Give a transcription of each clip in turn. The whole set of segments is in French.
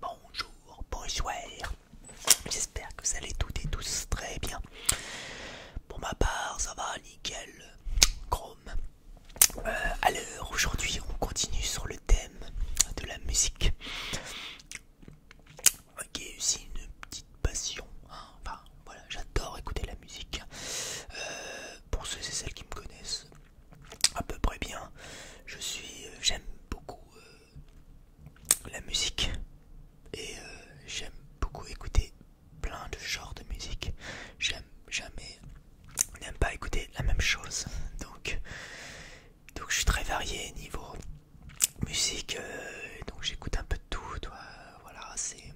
bonjour, bonjour, J'espère que vous allez toutes et tous très bien. Pour ma part, ça va nickel, chrome. alors euh, aujourd'hui, on continue sur le thème de la musique, Ok, aussi une petite passion. Hein. Enfin, voilà, j'adore écouter la musique. Euh, pour ceux et celles qui me connaissent à peu près bien, je suis, euh, j'aime beaucoup la musique et euh, j'aime beaucoup écouter plein de genres de musique. J'aime jamais, n'aime pas écouter la même chose. Donc, donc je suis très varié niveau musique. Euh, donc j'écoute un peu de tout. voilà, c'est.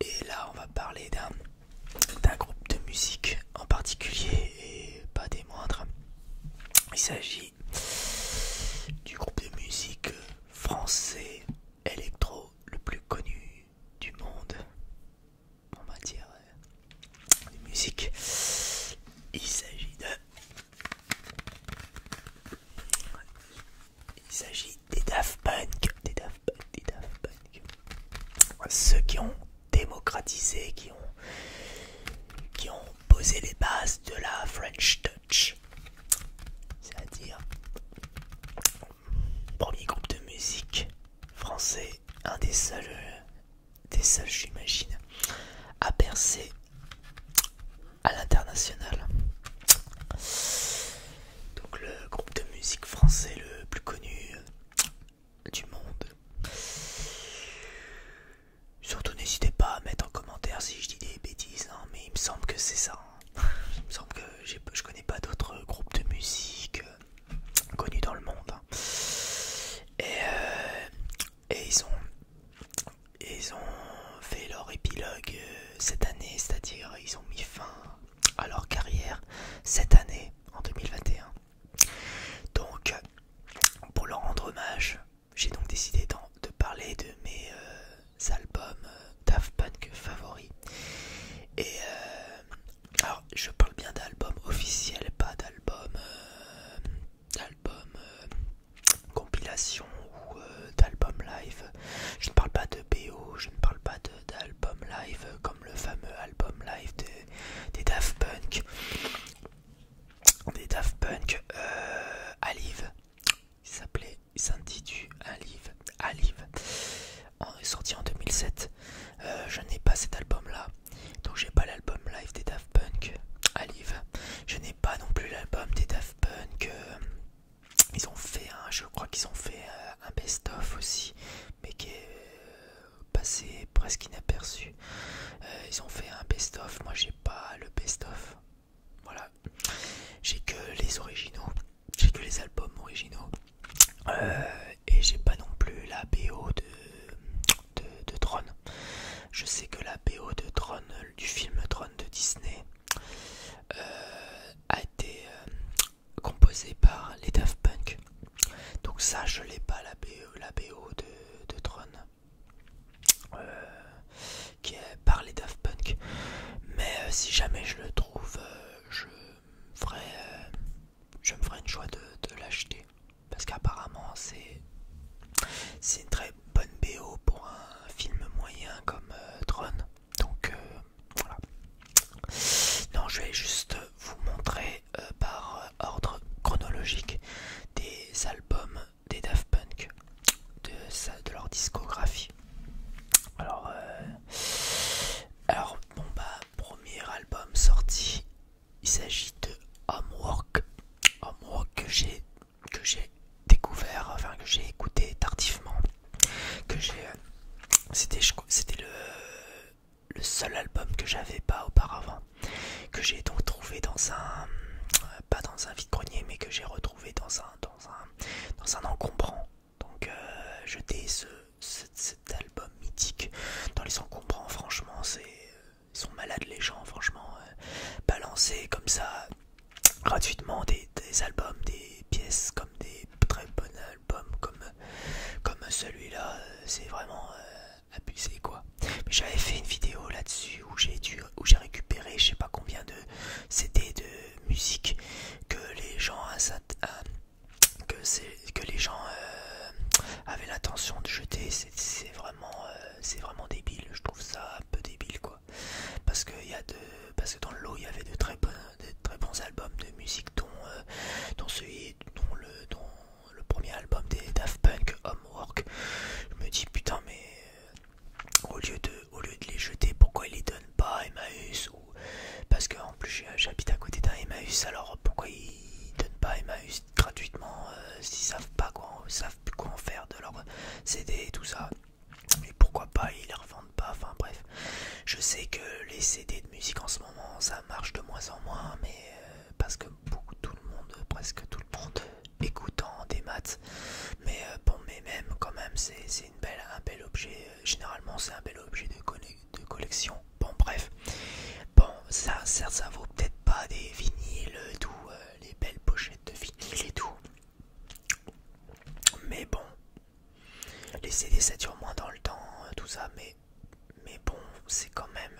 Et là, on va parler d'un d'un groupe de musique en particulier et pas des moindres. Il s'agit du groupe de musique français électro le plus connu du monde en matière de euh, musique. Il s'agit de... Il s'agit des Daft Punk, des Daft des Ceux qui ont démocratisé, qui ont, qui ont Poser les bases de la French Touch. C'est-à-dire, premier groupe de musique français, un des seuls, des seuls j'imagine, à percer à l'international. Donc le groupe de musique français le plus connu du monde. Surtout n'hésitez pas à mettre en commentaire si je dis des bêtises, non hein, mais il me semble que c'est ça. Hein. Il me semble que je connais pas d'autres groupes de musique euh, connus dans le monde. Hein. Et, euh, ils ont fait leur épilogue euh, cette année, c'est-à-dire ils ont mis fin à leur carrière cette année en 2021. Donc pour leur rendre hommage, j'ai donc décidé de parler de mes euh, albums euh, Daft Punk favoris. Et euh, alors, je parle bien d'albums officiels, pas d'albums d'albums compilation ou d'albums live. Je ne parle pas de BO, je ne parle pas d'albums live comme le fameux album live des Daft Punk des Daft Punk euh, Alive il s'appelait Saint s'intitule Alive Alive en, sorti en 2007 euh, je n'ai pas cet album là donc j'ai pas l'album live des Daft Punk Alive je n'ai pas non plus l'album des Daft Punk euh, ils ont fait un je crois qu'ils ont fait un, best of aussi mais qui est passé presque inaperçu ils ont fait un best of moi j'ai pas le best-of. Voilà. J'ai que les originaux. J'ai que les albums originaux. Euh, et j'ai pas non plus la BO de, de, Tron. Je sais que la BO de Tron, du film Tron de Disney, euh, a été euh, composée par les Daft Punk. Donc ça, je l'ai pas la BO, la BO de, de euh, qui est parlé les Punk. Mais euh, si jamais je le trouve, euh, je je me ferai une choix de, l'acheter parce qu'apparemment c'est c'est une très bonne BO pour un film moyen comme Drone Donc voilà. Non, je vais juste vous montrer par ordre chronologique des albums des Daft Punk, de, de leur discographie. Alors, euh, alors bon bah, premier album sorti, il s'agit de Homework, Homework que j'ai que j'ai découvert, enfin que j'ai écouté tardivement, que j'ai, euh, c'était c'était le le seul album que j'avais pas auparavant que j'ai donc trouvé dans un euh, pas dans un vide grenier mais que j'ai retrouvé dans un dans un dans un encombrant donc je euh, jeter ce, cet album mythique dans les encombrants franchement c'est sont malades les gens franchement euh, balancer comme ça gratuitement des, des albums des pièces comme des très bons albums comme comme celui-là c'est vraiment abusé quoi. j'avais fait une vidéo là-dessus où j'ai où j'ai récupéré je sais pas combien de CD de musique que les gens que c'est que les gens euh, avaient l'intention de jeter. C'est vraiment euh, c'est vraiment débile. Je trouve ça un peu débile quoi. Parce que il y parce que dans l'eau il y avait de très bons de très bons albums de musique dont euh, dont celui le dont le premier album des Daft Punk Homework je me dis putain mais au lieu, de, au lieu de les jeter, pourquoi ils les donnent pas à Emmaüs ou, Parce qu'en plus j'habite à côté d'un Emmaüs, alors pourquoi ils donnent pas à Emmaüs gratuitement euh, s'ils ne savent pas quoi, savent quoi en faire de leurs CD et tout ça Et pourquoi pas ils les revendent pas Enfin bref, je sais que les CD de musique en ce moment ça marche de moins en moins, mais euh, parce que tout le monde, presque tout le monde écoutant des maths. Mais euh, bon, mais même quand même, c'est belle, un bel objet. Euh, généralement, c'est un bel objet de, de collection. Bon, bref. Bon, ça, certes ça vaut peut-être pas des vinyles doux euh, les belles pochettes de vinyles et tout. Mais bon, les CD ça moins dans le temps, tout ça, mais, mais bon, c'est quand même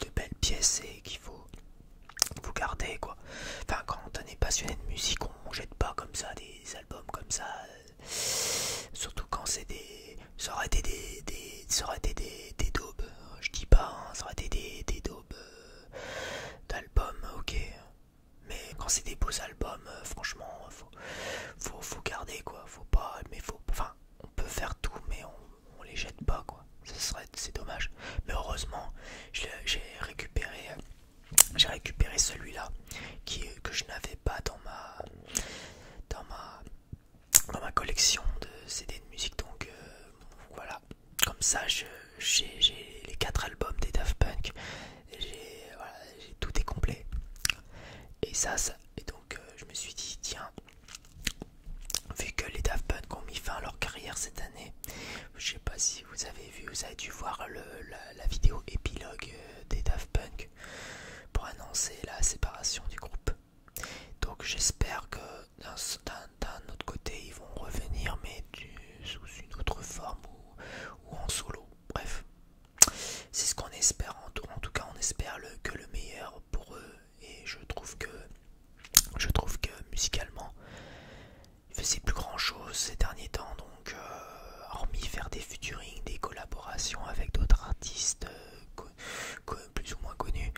de belles pièces et qu'il faut vous gardez quoi. Enfin, quand on est passionné de musique, on, jette pas comme ça des albums comme ça. Euh, surtout quand c'est des. Ça aurait été des. ça aurait été des, des daubes. Je dis pas, hein, ça aurait été des, daubes euh, d'albums, ok. Mais quand c'est des beaux albums, euh, franchement, faut, faut, faut garder quoi. Faut pas. Mais faut. Enfin, on peut faire tout, mais on on les jette pas quoi. Ce serait c'est dommage. Mais heureusement, j'ai récupéré euh, j'ai récupéré celui-là qui que je n'avais pas dans ma dans ma dans ma collection de CD de musique donc euh, voilà. Comme ça, j'ai les quatre albums des Daft Punk. voilà, tout est complet. Et ça, ça et donc euh, je me suis dit tiens, Vu que les Daft Punk ont mis fin à leur carrière cette année, je sais pas si vous avez vu, vous avez dû voir la, vidéo épilogue euh, des Daft Punk pour annoncer la séparation du groupe. Donc j'espère que d'un autre côté ils vont revenir mais sous une autre forme ou, en solo. Bref, c'est ce qu'on espère. En tout, en tout cas on espère que le meilleur pour eux et je trouve que je trouve que musicalement, ils ne faisaient plus grand chose ces derniers temps, donc euh, hormis faire des featuring, des collaborations avec d'autres artistes euh, plus ou moins connus,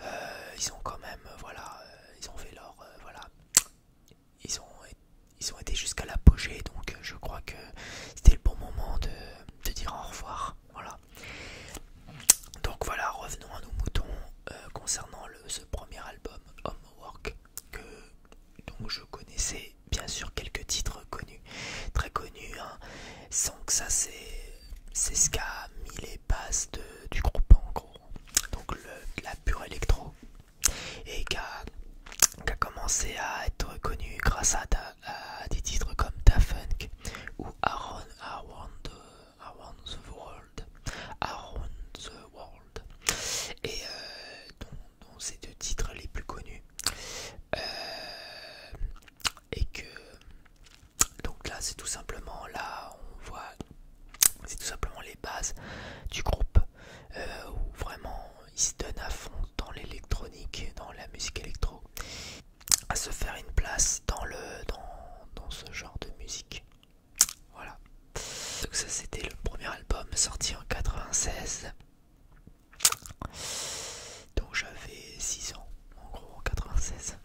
euh, ils ont quand même, voilà, ils ont fait leur, voilà, ils ont, ils ont été jusqu'à l'apogée, donc je crois que c'était le bon moment de, dire au revoir, voilà. Donc voilà, revenons à nos moutons concernant le premier album Homework que donc je connaissais bien sûr quelques titres connus, très connus, hein, sans que ça c'est ce qu'a mis les bases du groupe en gros, donc le, la pure électro, et qui a, commencé à être connu grâce à, des titres comme Da Funk ou Aaron Howard euh, Around the World, Around the World, et euh, dont, ces deux titres les plus connus, euh, et que donc là c'est tout simplement là on voit c'est tout simplement les bases du groupe euh, où vraiment ils se donnent à fond dans l'électronique, dans la musique électro, à se faire une place dans le dans ce genre de musique. Voilà. Donc ça c'était le premier album sorti en 96. Donc j'avais 6 ans en gros en 96.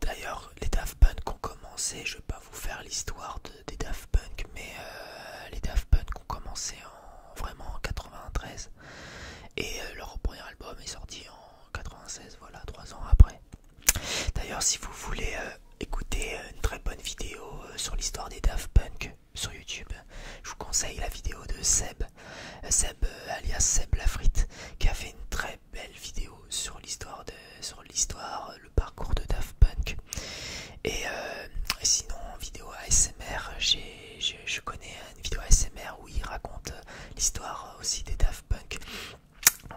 D'ailleurs les Daft Punk ont commencé, je vais pas vous faire l'histoire des Daft Punk, mais euh, les Daft Punk ont commencé en, vraiment en 93. Et euh, leur premier album est sorti en 96, voilà, 3 ans après. D'ailleurs, si vous voulez euh, écouter euh, une très bonne vidéo euh, sur l'histoire des Daft Punk sur YouTube, je vous conseille la vidéo de Seb, Seb alias Seb Lafrite, qui a fait une très belle vidéo sur l'histoire, sur l'histoire, le parcours de Daft Punk. Et sinon, vidéo ASMR, je, je connais une vidéo ASMR où il raconte l'histoire aussi des Daft Punk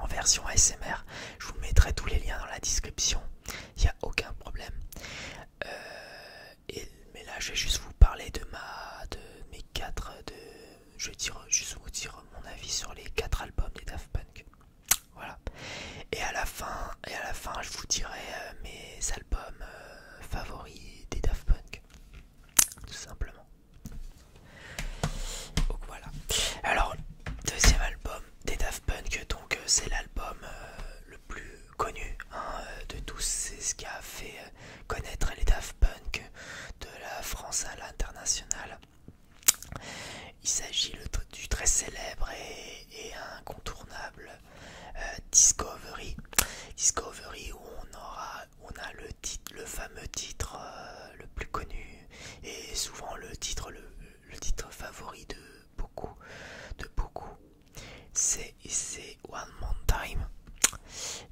en version ASMR. Je vous mettrai tous les liens dans la description, il n'y a aucun problème. Euh, et, mais là, je vais juste vous parler de, ma, de mes 4. De, je vais dire, juste vous dire mon avis sur les quatre albums des Daft Punk. Voilà. Et à la fin, et à la fin je vous dirai euh, mes albums euh, favoris des Daft Punk. Tout simplement voilà. Alors, deuxième album des Daft Punk, donc euh, c'est l'album euh, le plus connu hein, euh, de tous. C'est ce qui a fait connaître les Daft Punk de la France à l'international. Il s'agit du très célèbre et, incontournable Discovery. Discovery où on aura a le, fameux titre le plus connu et souvent le titre, le, titre favori de beaucoup, de beaucoup. C'est One More Time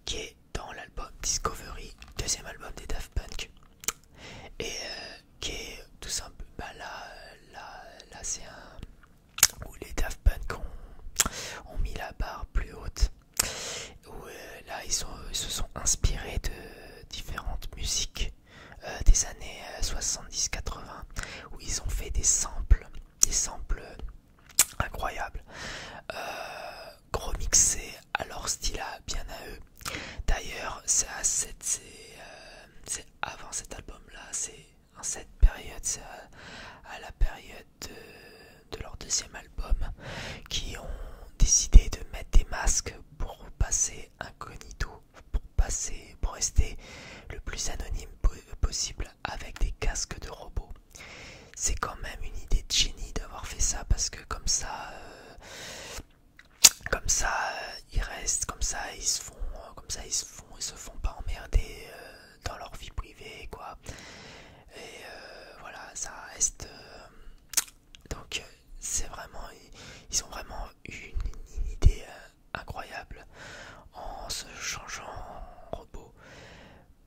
qui est dans l'album Discovery, deuxième album des Daft Punk, et euh, qui est tout simple. Bah là, là, là c'est un où les Daft Punk ont, mis la barre plus haute. Où, euh, là, ils se sont inspirés de différentes musiques euh, des années 70-80 euh, où ils ont fait des samples, des samples incroyables, euh, gros mixés à leur style à bien à eux. D'ailleurs, c'est avant cet album-là, c'est en cette période, c'est à, la période de, de leur deuxième album, qui ont décidé de mettre des masques pour passer incognito, pour passer, pour rester le plus anonyme possible avec des casques de robots. C'est quand même une idée de génie d'avoir fait ça parce que comme ça, euh, comme ça, euh, ils restent, comme ça, ils se font, euh, comme ça, ils se font, ils se font pas emmerder dans leur vie privée, quoi. Et voilà, ça reste, donc euh, c'est vraiment, ils, ont vraiment eu une, idée euh, incroyable en se changeant en robot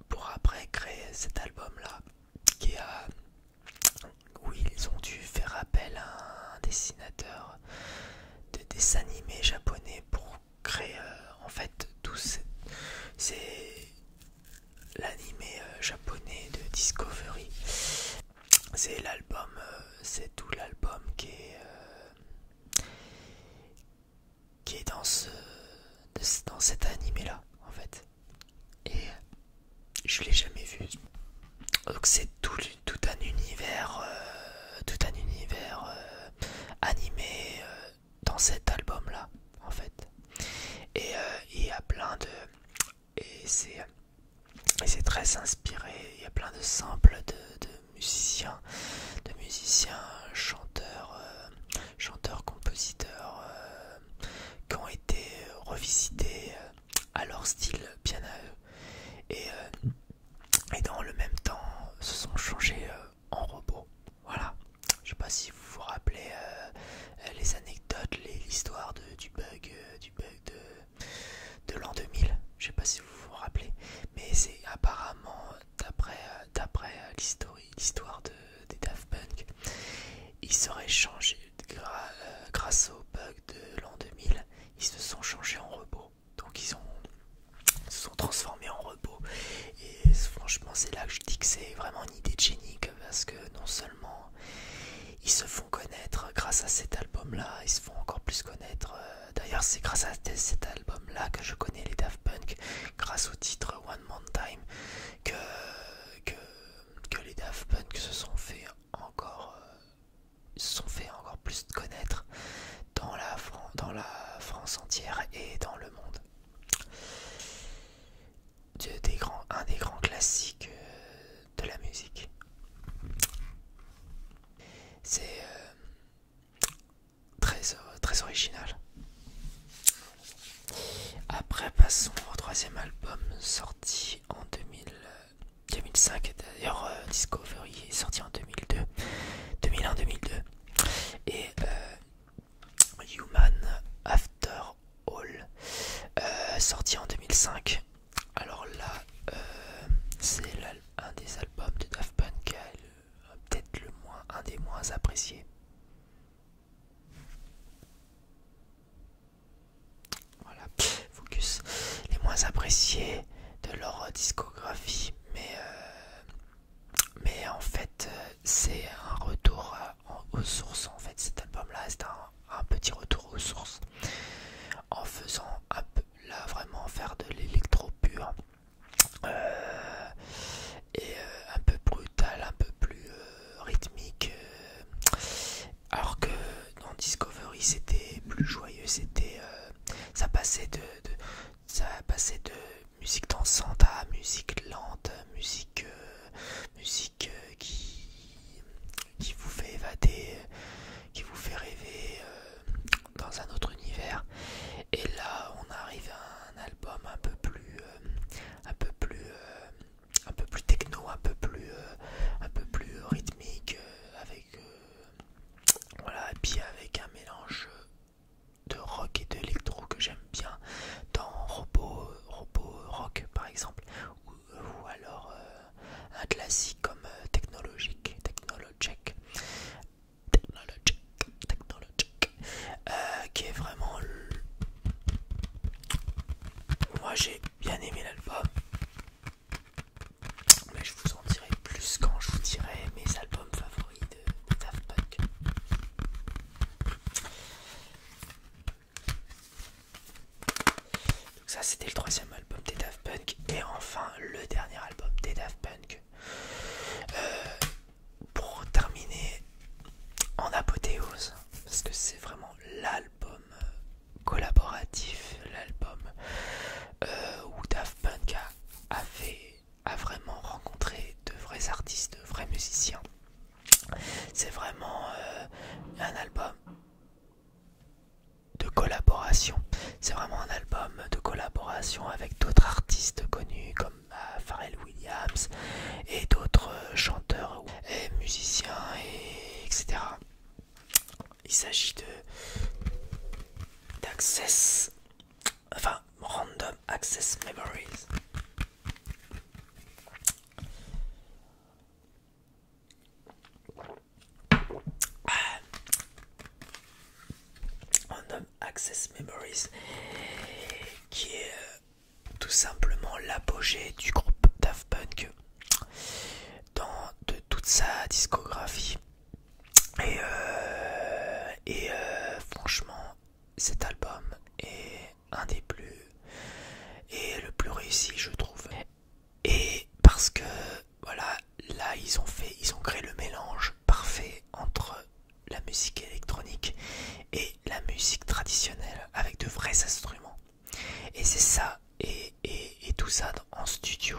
pour après créer cet album là qui a où ils ont dû faire appel à un dessinateur de dessins animés japonais pour créer euh, en fait tout c'est l'animé japonais de Discovery c'est l'album, euh, c'est tout l'album qui est euh, qui est dans ce dans cet animé là en fait et je l'ai jamais vu donc c'est tout, un univers tout un univers euh, animé dans cet album là en fait et il y a plein de et c'est très inspiré. Il y a plein de simples, de, musiciens, de musiciens, chanteurs, euh, chanteurs, compositeurs euh, qui ont été revisités euh, à leur style piano Et, et dans le même temps, se sont changés en robots. Voilà. Je ne sais pas si vous vous rappelez les anecdotes, l'histoire du bug, du bug de de l'an 2000. Je sais pas si vous vous rappelez, mais c'est apparemment d'après l'histoire de, des Daft Punk, ils seraient changés euh, grâce au bug de l'an 2000. Ils se sont changés en robots, donc ils ont se sont transformés en robots. Et franchement, c'est là que je dis que c'est vraiment une idée génique parce que non seulement ils se font connaître grâce à cet album là, ils se font encore plus connaître. Euh, d'ailleurs, c'est grâce à cet album là que je connais les Daft Punk, grâce au titre One More Time, que, que, les Daft Punk se sont fait encore, euh, se sont fait encore plus connaître dans la, dans la France entière et dans le monde. un des grands classiques euh, de la musique. C'est euh, euh, très, original. Après, passons au troisième album sorti en 2000, 2005. Euh, d'ailleurs, Discovery est sorti en 2002, 2001-2002. Et Human After All, sorti en 2005. Alors là, euh, c'est un des albums de Daft Punk, peut-être le moins, un des moins appréciés. Voilà, focus. Les moins appréciés de leur discographie, mais euh, mais en fait, euh, c'est un retour aux sources. En fait, cet album-là, c'est un un, petit retour aux sources en faisant là vraiment faire de l'électro pur euh, et euh, un peu brutal, un peu plus euh, rythmique alors que dans Discovery c'était plus joyeux, c'était ça passait de, ça passait de musique dansante à musique lente, musique musique euh, qui, vous fait évader, euh, qui vous fait rêver euh, dans un autre univers. Et là, on arrive à un album un peu plus, un peu plus, un peu plus techno, un peu plus, un peu plus rythmique, avec voilà, avec un mélange de rock et d'électro que j'aime bien dans robot, rock par exemple ou alors euh, un classique comme euh, technologique, technologic, technologique, euh, qui est vraiment. Moi j'ai bien aimé l'album, mais je vous en dirai plus quand je vous dirai mes albums favoris de, de Daft Punk. Donc ça c'était le troisième album des Daft Punk et enfin le dernier album des Daft Punk. Euh, pour terminer en apothéose, parce que c'est vraiment l'album euh, collaboratif, l'album euh, où Daft Punk a, a vraiment rencontré de vrais artistes, de vrais musiciens. C'est vraiment un album de collaboration. C'est vraiment un album de collaboration avec d'autres artistes connus comme euh, Pharrell Williams et d'autres euh, chanteurs et musiciens, etc. Il s'agit de d'Access, enfin Random Access Memories. On nomme Access Memories, qui est euh, tout simplement l'apogée du groupe Daft Punk dans toute sa discographie. Et, euh, euh, franchement, cet album est un des plus et le plus réussi je trouve et parce que voilà là ils ont fait ils ont créé le mélange parfait entre la musique électronique et la musique traditionnelle avec de vrais instruments et c'est ça et, et, tout ça en studio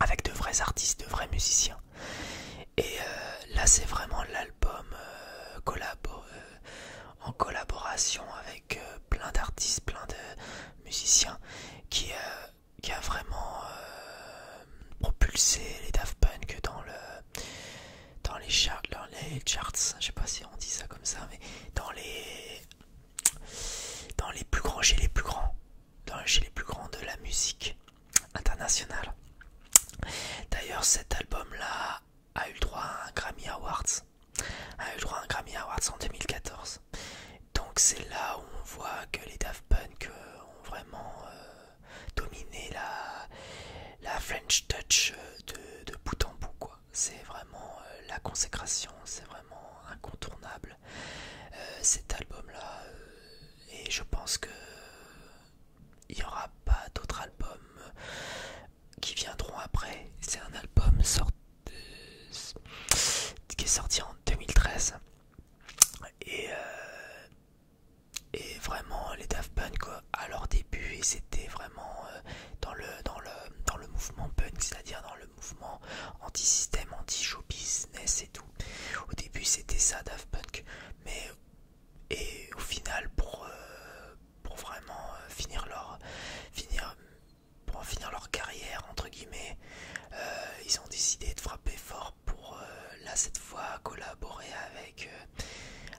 avec de vrais artistes de vrais musiciens et euh, là c'est vraiment l'album euh, euh, en collaboration avec plein d'artistes, plein de musiciens qui, euh, a vraiment euh, propulsé les Daft Punk dans, le, dans les, les charts, je sais pas si on dit ça comme ça, mais dans les, dans les plus grands, chez les plus grands, dans, les plus grands de la musique internationale. D'ailleurs cet album là a eu droit à un Grammy Awards a eu droit à un Grammy Awards en 2014. Donc c'est là où on voit que les Daft Punk euh, ont vraiment euh, dominé la, la French Touch euh, de, de bout en bout. C'est vraiment la consécration, c'est vraiment incontournable cet album-là. et je pense que il n'y aura pas d'autres albums qui viendront après. C'est un album sorti qui est sorti en 2013 et, euh, et vraiment les Daft Punk à leur début et c'était vraiment euh, dans, le, dans, le, dans le mouvement punk c'est à dire dans le mouvement anti-système anti-show business et tout au début c'était ça Daft Punk mais et au final pour, euh, pour vraiment finir leur finir pour en finir leur carrière entre guillemets euh, ils ont décidé de frapper fort pour euh, là cette fois collaborer avec euh,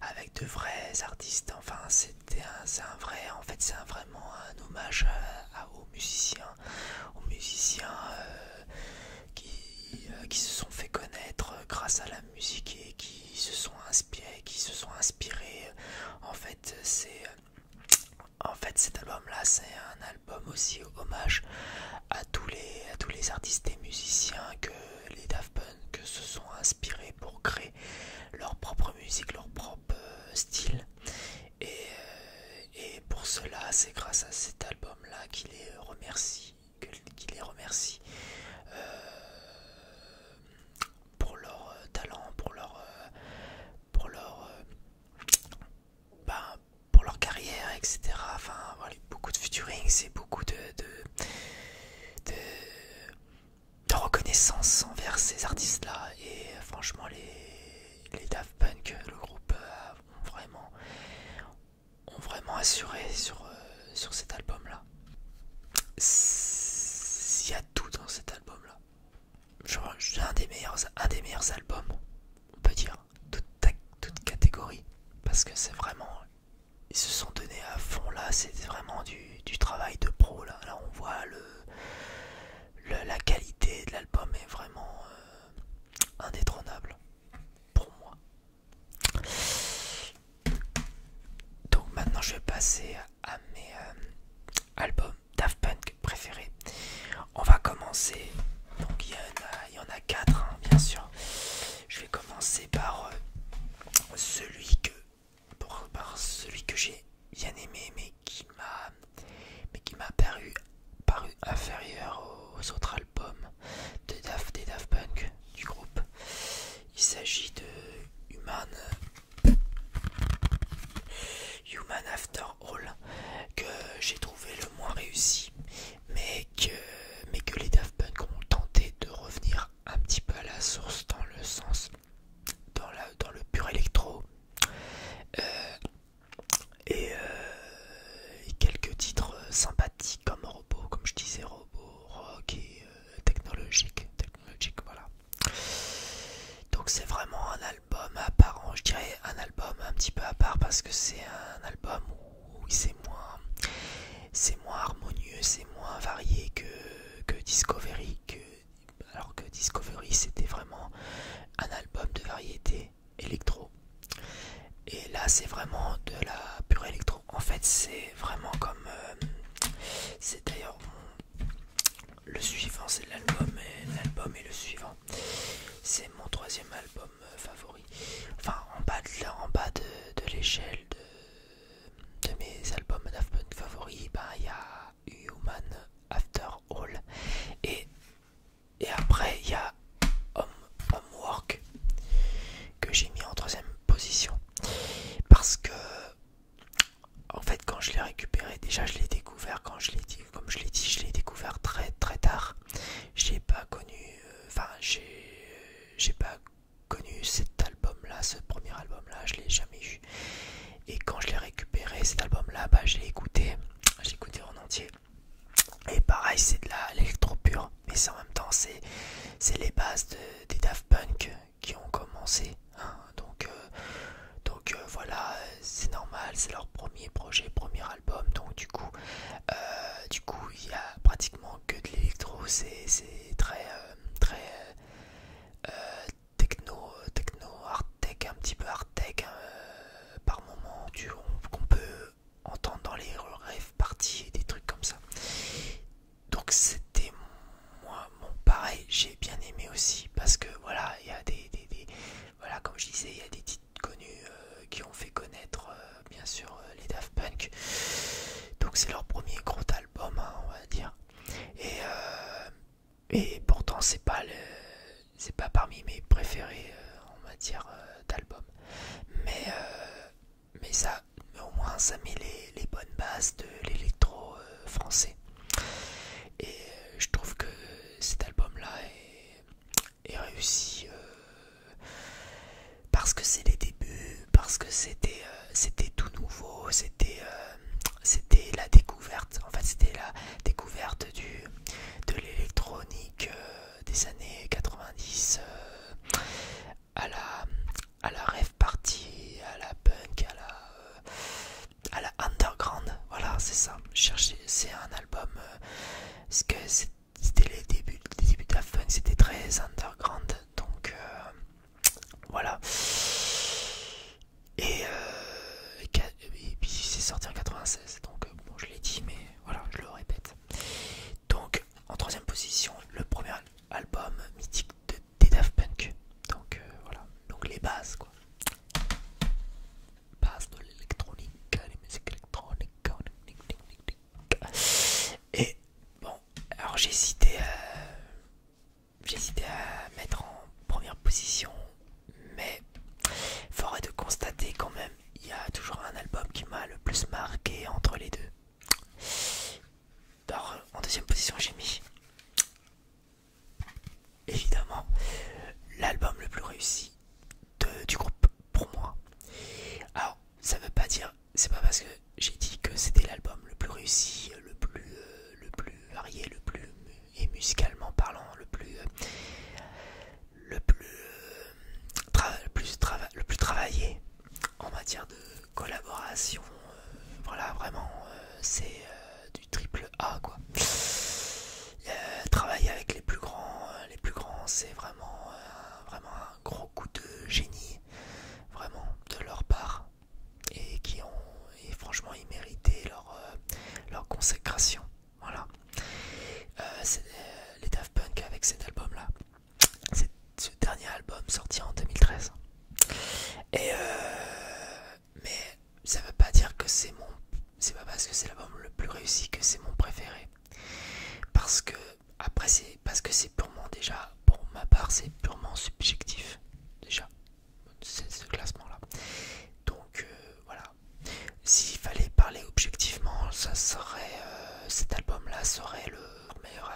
avec de vrais artistes enfin c'était un, un vrai en fait c'est vraiment un hommage à, aux musiciens aux musiciens qui, qui se sont fait connaître grâce à la musique et qui se sont inspirés qui se sont inspirés en fait c'est en fait cet album là c'est un album aussi hommage à tous les artistes et musiciens que les Daft Punk se sont inspirés pour créer leur propre musique, leur propre euh, style euh, et, pour cela c'est grâce à cet album là qu'il les remercie, les remercie euh, pour leur euh, talent, pour leur, euh, pour leur, euh, ben, pour leur carrière, etc. Enfin, voilà, beaucoup de futuring, c'est beaucoup de, de, de, reconnaissance envers ces artistes-là. Et franchement, les, les Daft Punk, le groupe, ont vraiment, ont vraiment assuré sur, sur cet album-là. Il y a tout dans cet album-là c'est un des meilleurs un des meilleurs albums on peut dire toute, toute catégorie parce que c'est vraiment ils se sont donnés à fond là c'est vraiment du, du travail de pro là là on voit le, le la qualité de l'album est vraiment euh, indétrônable pour moi donc maintenant je vais passer à mes euh, album Daft Punk préféré. On va commencer. Donc il y, y en a quatre, hein, bien sûr. Je vais commencer par euh, celui que par celui que j'ai bien aimé, mais qui m'a mais qui m'a paru paru inférieur aux autres albums de des Daft Punk du groupe. Il s'agit de Human Human After All que j'ai trouvé le moins réussi mais que, mais que les Daft Punk ont tenté de revenir un petit peu à la source dans le sens dans, le pur électro euh, euh, et, quelques titres sympathiques comme Robot comme je disais Robot Rock et euh, Technologique Technologique voilà donc c'est vraiment un album à part, je dirais un album un petit peu à part parce que c'est un album où c'est moins, c'est moins harmonieux, c'est moins varié que, que Discovery, que, alors que Discovery c'était vraiment un album de variété électro. Et là c'est vraiment de la pure électro. En fait c'est vraiment comme, euh, c'est d'ailleurs le suivant, c'est l'album et euh, l'album est le suivant. C'est mon troisième album euh, favori. Enfin, en bas de, en bas de, l'échelle de, mes albums d'Afpunk favoris, ben, il y a Human After All. Et, et après, il y a Homework que j'ai mis en troisième position. Parce que en fait quand je l'ai récupéré déjà je l'ai découvert quand je l'ai dit comme je l'ai dit je l'ai découvert très très tard j'ai pas connu euh, enfin euh, j'ai pas connu cet album là ce premier album là je l'ai jamais eu et quand je l'ai récupéré cet album là bah, je l'ai écouté j'ai écouté en entier et pareil c'est de l'électro pure mais en même temps c'est les bases des Daft Punk qui ont commencé Hein, donc euh, euh, voilà, c'est normal, c'est leur premier projet, premier album. Donc du coup, euh, du coup, il y a pratiquement que de l'électro. C'est très très techno, techno art un petit peu hard hein, par moment qu'on peut entendre dans les rêves parties, des trucs comme ça. Donc c'était moi, mon pareil, j'ai bien aimé aussi parce que voilà, il y a des, voilà, comme je disais, il y a des titres connus euh, qui ont fait connaître, euh, bien sûr, euh, les Daft Punk. Donc c'est leur premier gros album, hein, on va dire. Et, pourtant, c'est pas c'est pas parmi mes préférés en matière d'album. Mais ça, au moins, ça met les, bonnes bases de l'électro français. Et je trouve que cet album-là est, réussi euh, parce que c'est les débuts, parce que c'était euh, c'était tout nouveau, euh, c'était la découverte. En fait, c'était la découverte du, de l'électronique des années 90 à la à la rêve party, à la punk, à la à la underground. Voilà, c'est ça. chercher c'est un album. Euh, que c'était les débuts, les débuts de la c'était très underground. Donc euh, voilà. Euh, et, puis c'est sorti en 96. Donc bon, je l'ai dit, mais voilà, je le répète. Donc en troisième position, le premier album mythique de des Daft Punk. Donc voilà, donc les bases quoi base de l'électronique, les musiques électroniques. Et bon, alors j'ai hésité, à mettre en première position, mais il faudrait de constater quand même, il y a toujours un album qui m'a le plus marqué entre les deux. Alors, en deuxième position, j'ai mis évidemment l'album le plus réussi du groupe pour moi. Alors ça veut pas dire, c'est pas parce que j'ai dit que c'était l'album le plus réussi, le plus, euh, le plus varié, le plus et musicalement parlant le plus, euh, le plus, euh, le, plus travaillé en matière de collaboration. voilà vraiment c'est du triple A quoi. Euh, travailler avec les plus grands, les plus grands, c'est vraiment, euh, vraiment un gros coup de génie, vraiment de leur part, et qui ont, et franchement, ils méritaient leur, euh, leur consécration. Voilà. Euh, les Daft Punk avec cet album-là, ce dernier album sorti en 2013. Et mais ça veut pas dire que c'est mon c'est pas parce que c'est l'album le plus réussi que c'est mon préféré parce que après c'est parce que c'est purement déjà pour ma part c'est purement subjectif déjà ce classement là donc euh, voilà s'il fallait parler objectivement ça serait euh, cet album là serait le meilleur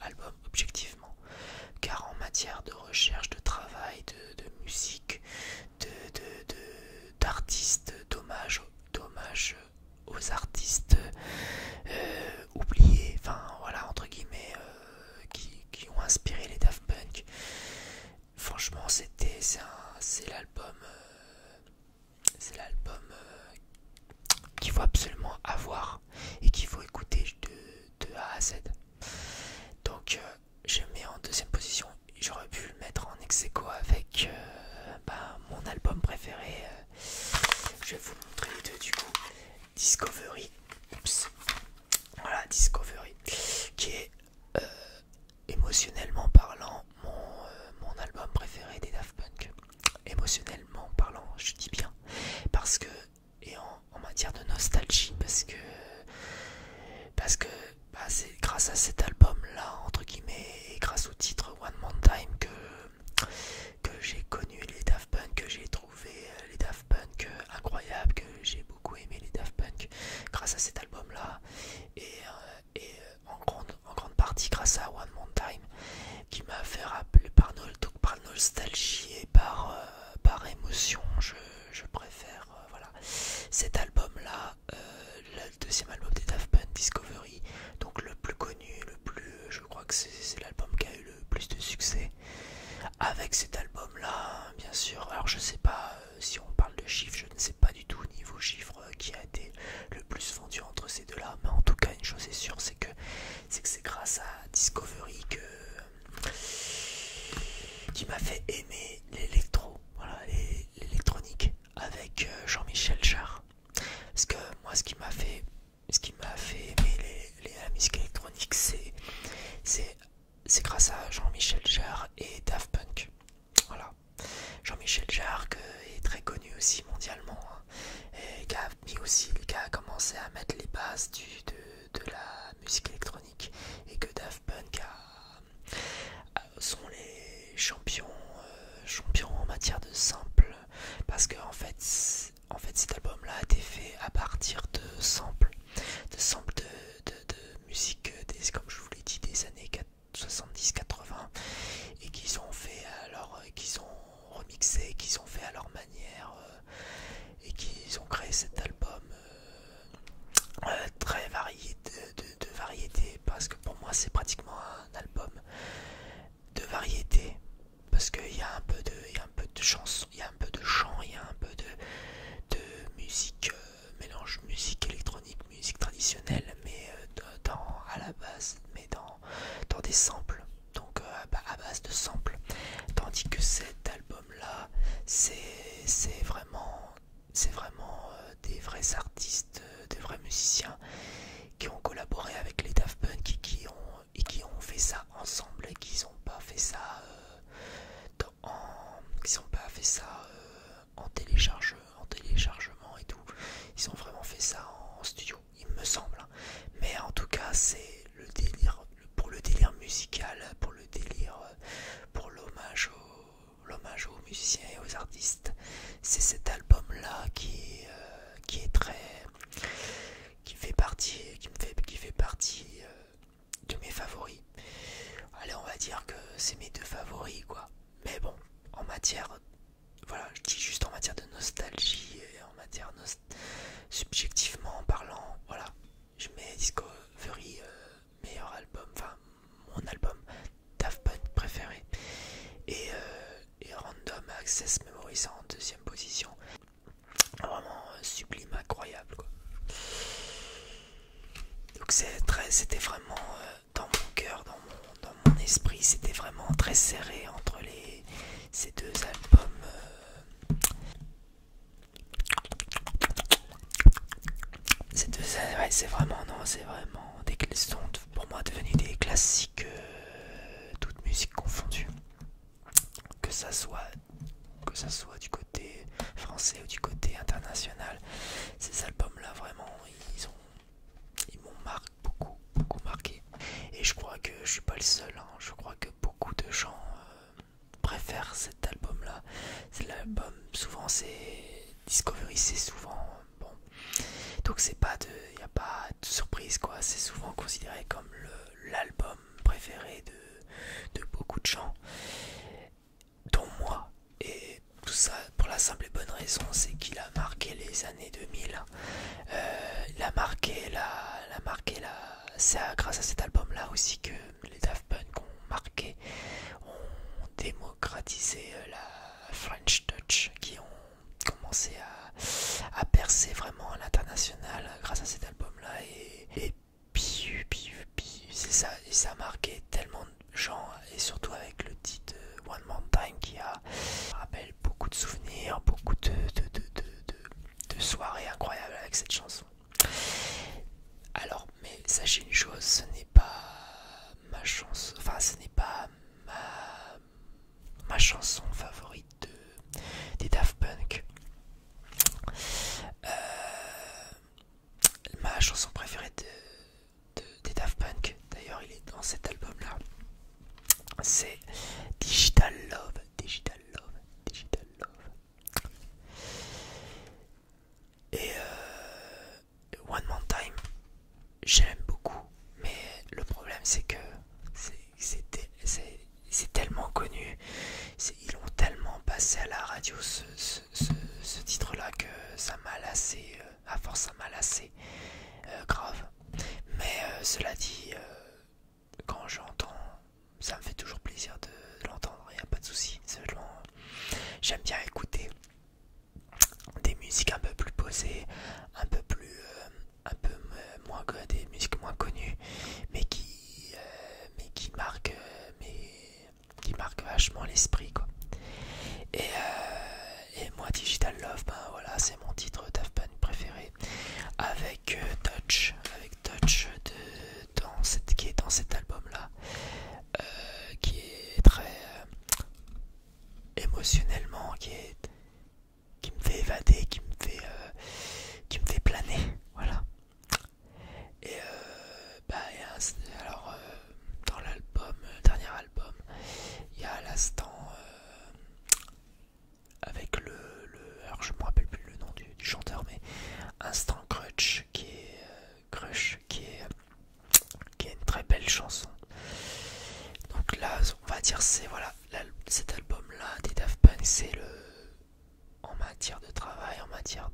album objectivement car en matière de recherche de travail de musique d'artistes, de, dommage, aux artistes euh, oubliés, enfin voilà, entre guillemets, euh, qui, ont inspiré les Daft Punk. Franchement, c'était c'est l'album c'est l'album euh, qu'il faut absolument avoir et qu'il faut écouter de, A à Z. Donc, je mets en deuxième position. J'aurais pu le mettre en ex avec euh, bah, mon album préféré. Euh, je vais vous montrer les deux du coup. Discovery. Oups. Voilà, Discovery. Qui est euh, émotionnellement parlant mon, mon album préféré des Daft Punk. Émotionnellement parlant, je dis bien. Parce que, et en matière de nostalgie, parce que, parce que bah, c'est grâce à cet album là entre guillemets et grâce au titre One More Time que, j'ai connu les Daft Punk, que j'ai trouvé euh, les Daft Punk euh, incroyable que j'ai beaucoup aimé les Daft Punk grâce à cet album là et, euh, en, grande, partie grâce à One More Time qui m'a fait rappeler par, par nostalgie et par, émotion je, préfère voilà cet album là euh, le deuxième album des Daft Punk, Discovery, donc le plus connu, le plus, je crois que c'est l'album qui a eu le plus de succès. Avec cet album-là, bien sûr, alors je sais pas euh, si on parle de chiffres, je ne sais pas du tout niveau chiffres euh, qui a été le plus vendu entre ces deux-là, mais en tout cas une chose est sûre, c'est que c'est que c'est grâce à Discovery que qui m'a fait aimer l'électro voilà, l'électronique avec euh, Jean-Michel Jarre. Parce que moi, ce qui m'a fait, ce qui m'a fait aimer les, les, la musique électronique, c'est, c'est grâce à Jean-Michel Jarre et Daft Punk. Voilà, Jean-Michel Jarre qui est très connu aussi mondialement hein, et qui a aussi, commencé à mettre les bases du, de, de la musique électronique et que Daft Punk a euh, sont les champions, euh, champions en matière de samples parce que en fait, en fait cet album là a été fait à partir de samples, de de, musique des, comme je vous l'ai dit des années 70-80 et qu'ils ont fait alors qu'ils ont remixé, qu'ils ont fait à leur manière euh, et qu'ils ont créé cet album euh, euh, très varié de, variété parce que pour moi c'est pratiquement un album de variété parce qu'il y a un peu de il y a un peu de chansons il y a un peu de chant il y a un peu de, musique euh, mélange musique électronique musique traditionnelle mais dans à la base mais dans dans des samples donc à base de samples tandis que cet album là c'est vraiment c'est vraiment euh, des vrais artistes, euh, des vrais musiciens qui ont collaboré avec les Daft Punk et qui ont, et qui ont fait ça ensemble et qui n'ont pas fait ça euh, en, qui pas fait ça en, téléchargement et tout. Ils ont vraiment fait ça en, studio, il me semble. Hein. Mais en tout cas, c'est le délire pour le délire musical, pour le délire, pour l'hommage au l'hommage aux musiciens et aux artistes. C'est cet album-là qui, euh, est très... qui fait partie, qui fait, qui fait partie euh, de mes favoris. Allez, on va dire que c'est mes deux favoris, quoi. Mais bon, en matière... Voilà, je dis juste en matière de nostalgie et en matière... subjectivement parlant, voilà. Je mets Discovery... Euh, meilleur album, enfin mon album Daft préféré. Euh, et, Random Access mémorisant en deuxième position. Vraiment euh, sublime, incroyable quoi. Donc c'était vraiment euh, dans mon cœur, dans mon, dans mon esprit, c'était vraiment très serré entre les, ces deux albums. C'est vraiment, non, c'est vraiment des sont pour moi devenus des classiques, euh, toute toutes musiques Que ça soit, que ça soit du côté français ou du côté international, ces albums-là vraiment, ils ont, ils m'ont marqué beaucoup, beaucoup marqué. Et je crois que je suis pas le seul. Hein. je crois que beaucoup de gens euh, préfèrent cette cet album là. C'est l'album, souvent c'est Discovery, c'est souvent bon. Donc c'est pas de, il a pas de surprise quoi. C'est souvent considéré comme l'album préféré de, de beaucoup de gens, dont moi. Et tout ça pour la simple et bonne raison, c'est qu'il a marqué les années 2000. Euh, il a marqué la, la marqué la. C'est grâce à cet album là aussi que les Daft Punk ont marqué, ont démocratisé euh, la French Touch, qui ont commencé à, percer vraiment à l'international grâce à cet album-là. Et, et piu, piu, c'est ça, et ça a marqué tellement de gens, et surtout avec le titre euh, One Mountain qui a, rappelle beaucoup de souvenirs, beaucoup de, de, de soirées incroyables avec cette chanson. Alors, mais sachez une chose, ce n'est pas ma chanson, enfin ce n'est pas ma, chanson favorite de, des Daft Punk. Euh, ma chanson préférée de, des Daft Punk, d'ailleurs il est dans cet album là, c'est Digital Love, Digital Love, Digital Love. Et euh, One more Time, j'aime beaucoup, mais le problème c'est que c'est tellement connu, ils ont tellement passé à la radio ce, titre-là que ça m'a lassé, euh, à force ça m'a lassé, euh, grave. Mais euh, cela dit, quand j'entends, ça me fait toujours plaisir de, l'entendre, il n'y a pas de souci, j'aime bien écouter des musiques un peu plus posées, un peu plus, euh, un peu moins des musiques moins connues, mais qui, euh, mais qui marquent, euh, mais qui marquent vachement l'esprit quoi. Et, moi, Digital Love, ben voilà, c'est mon titre Daft préféré, avec Touch, avec Touch de, dans cette, qui est dans cet album là. Euh, qui est très euh, émotionnellement, qui, est, qui me fait évader, qui me fait, euh, qui me fait planer. Voilà. Et, bah, alors, dans l'album, dernier album, il y a l'instant avec le, Alors, je me rappelle plus le nom du, chanteur, mais Instant Crutch qui est. Crush qui est, une très belle chanson. Donc là, on va dire c'est voilà, cet album-là des Daft Punk, c'est le en matière de travail, en matière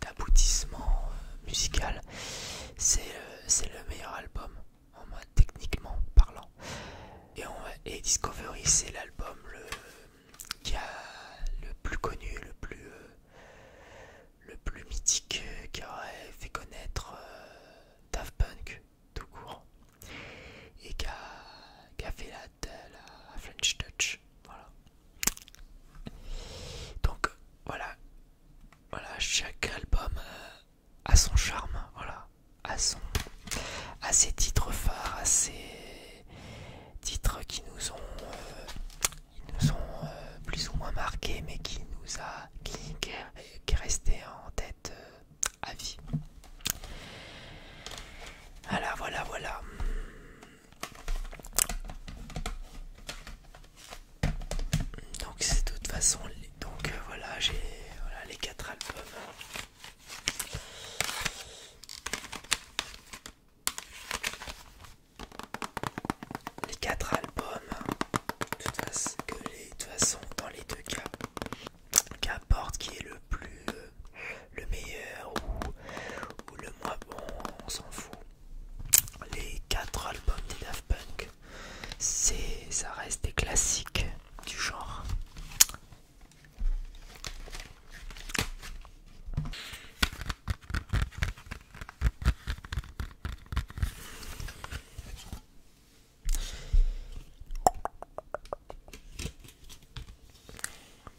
d'aboutissement euh, musical, euh, c'est le meilleur album en techniquement parlant. Et, Discovery, c'est l'album qui a le plus connu, le plus euh, le plus mythique qui aurait fait connaître euh, Daft Punk tout court et qui a, fait la, French Touch. Voilà. Donc voilà, voilà chaque album euh, a son charme, voilà, a son, a ses titres phares, à ses titres qui nous ont euh, ils nous ont euh, plus ou moins marqués, mais qui nous a qui, est resté en tête euh, à vie. Voilà, voilà, voilà. Donc c'est de toute façon, donc euh, voilà, j'ai voilà, les quatre albums les quatre albums de toute, façon, que les, dans les deux cas qu'importe qui est le plus euh, le meilleur ou, le moins bon on s'en fout les quatre albums des Daft Punk c'est ça reste des classiques du genre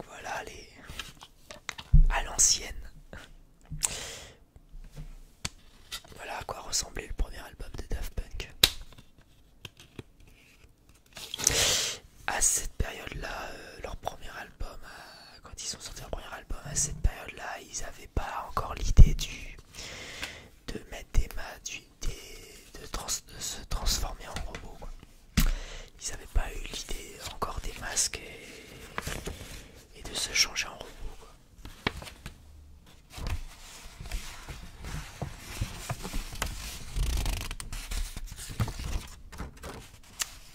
voilà allez, à l'ancienne. Voilà à quoi ressemblait le premier album de Daft Punk. À cette période-là, euh, leur premier album quand ils sont sortis leur premier album à cette période là ils n'avaient pas encore l'idée du de mettre des masques, de, se transformer en robot ils n'avaient pas eu l'idée encore des masques et, de se changer en robot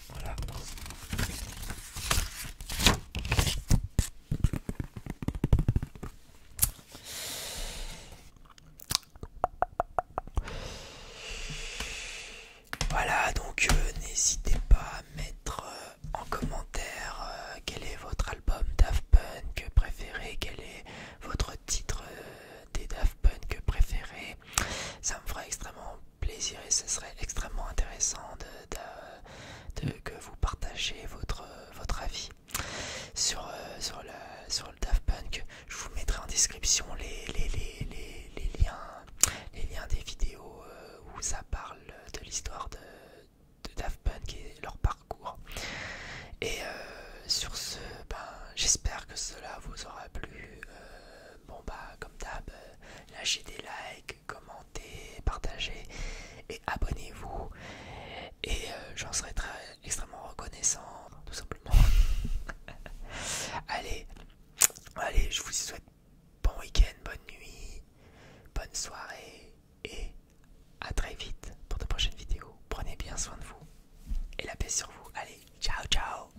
voilà. Voilà, donc euh, n'hésitez pas à mettre euh, en commentaire euh, quel est votre album Daft que préféré, quel est votre titre des Daft Punk préféré. Ça me ferait extrêmement plaisir et ce serait extrêmement intéressant de, que vous partagez votre, votre avis sur, euh, le, sur le Daft Punk. Je vous mettrai en description les, les, liens, les liens des vidéos euh, où ça parle de l'histoire de, Daft Punk et leur parcours. Et euh, sur ce, ben, j'espère que cela vous aura plu. bon bah comme d'hab, lâchez des likes, commentez, partagez et abonnez-vous. Et euh, j'en serai très extrêmement reconnaissant, tout simplement. allez, allez, je vous souhaite bon week-end, bonne nuit, bonne soirée et à très vite pour de prochaines vidéos. Prenez bien soin de vous et la paix sur vous. Allez, ciao ciao.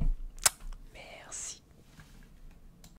Merci.